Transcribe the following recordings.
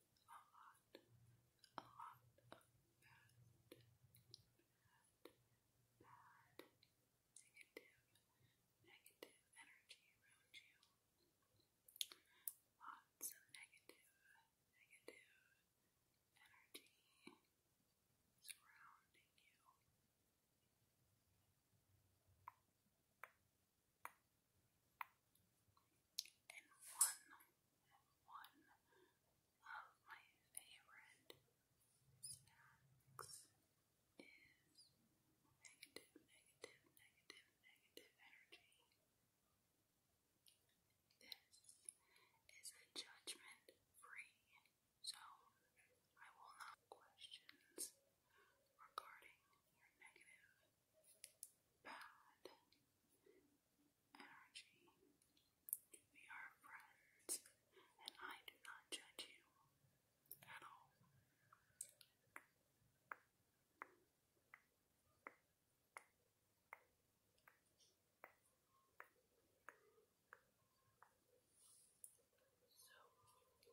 a lot of bad, bad, bad, negative, negative energy around you. Lots of negative, negative energy surrounding you. And one, of my favorite snacks is negative, negative, negative, negative energy. This is a judgment-free zone. I will not questions regarding negative bad energy. We are friends, and I do not judge you at all. So,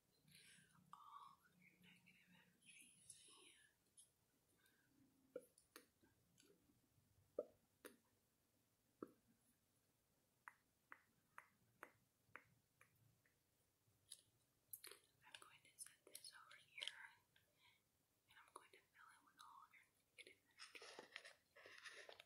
all of your negative energies and I'm going to set this over here and I'm going to fill it with all your negative energy.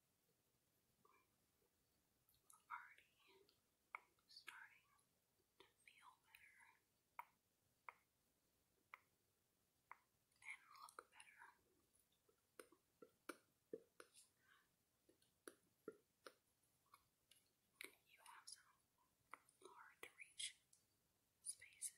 already starting to feel better and look better. You have some hard to reach spaces.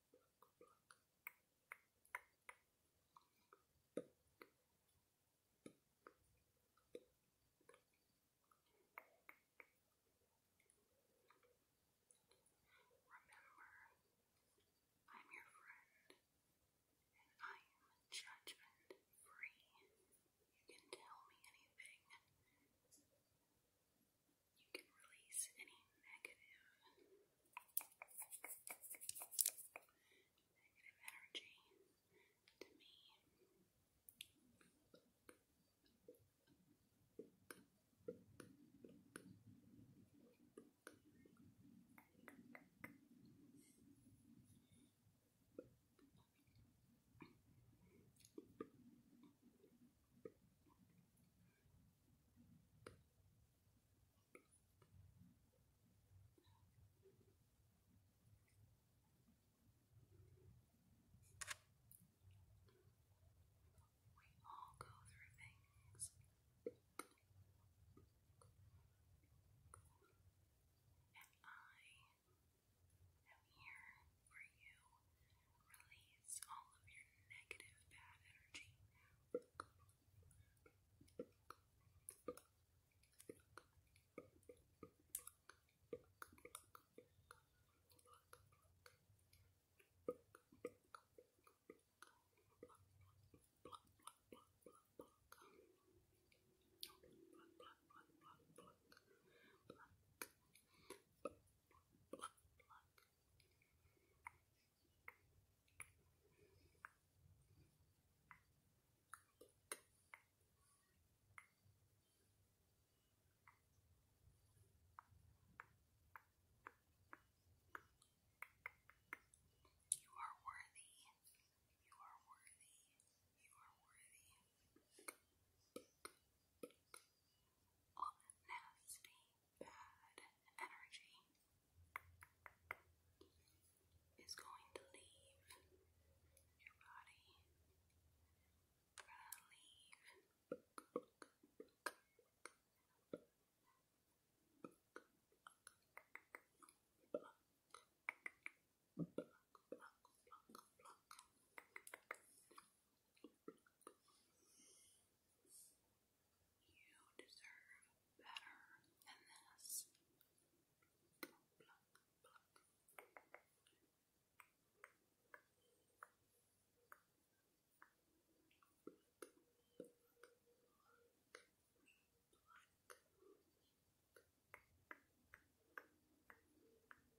Remember, I'm your friend, and I am judgment free. You can tell me anything you can release any negative negative energy to me. Thank you. We all go through things. And I am here for you Release all of your negative bad energy. You are worthy. You are worthy. You are worthy all that nasty, bad energy is going to leave your body. You deserve better than this. Pluck, pluck, pluck. Pluck, pluck, pluck.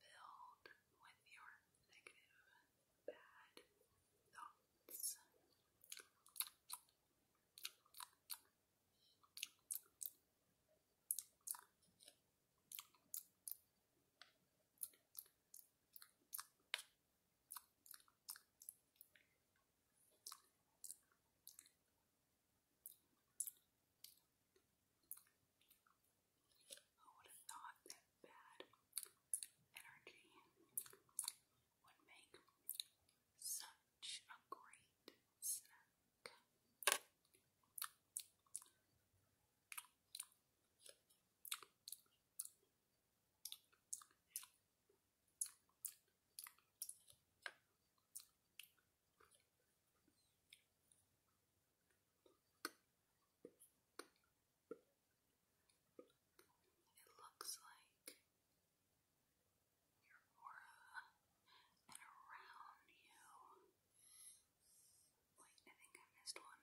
filled with your negative, bad thoughts. Who would have thought that bad energy would make such a great snack? It looks like your aura and around you. Wait, I think I missed one.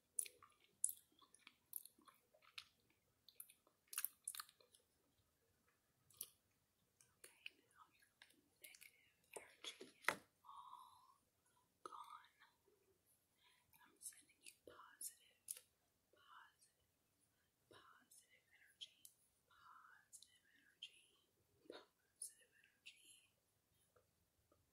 Okay, now your negative energy is all gone. I'm sending you positive, positive, positive energy, positive energy, positive energy. Positive energy.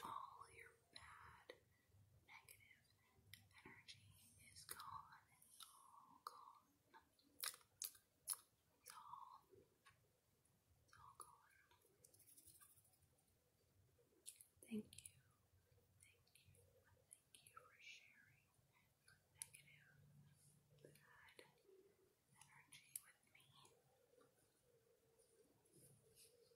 all your bad, negative energy is gone. It's all gone. It's all, it's all gone. Thank you. Thank you. Thank you for sharing negative, bad energy with me.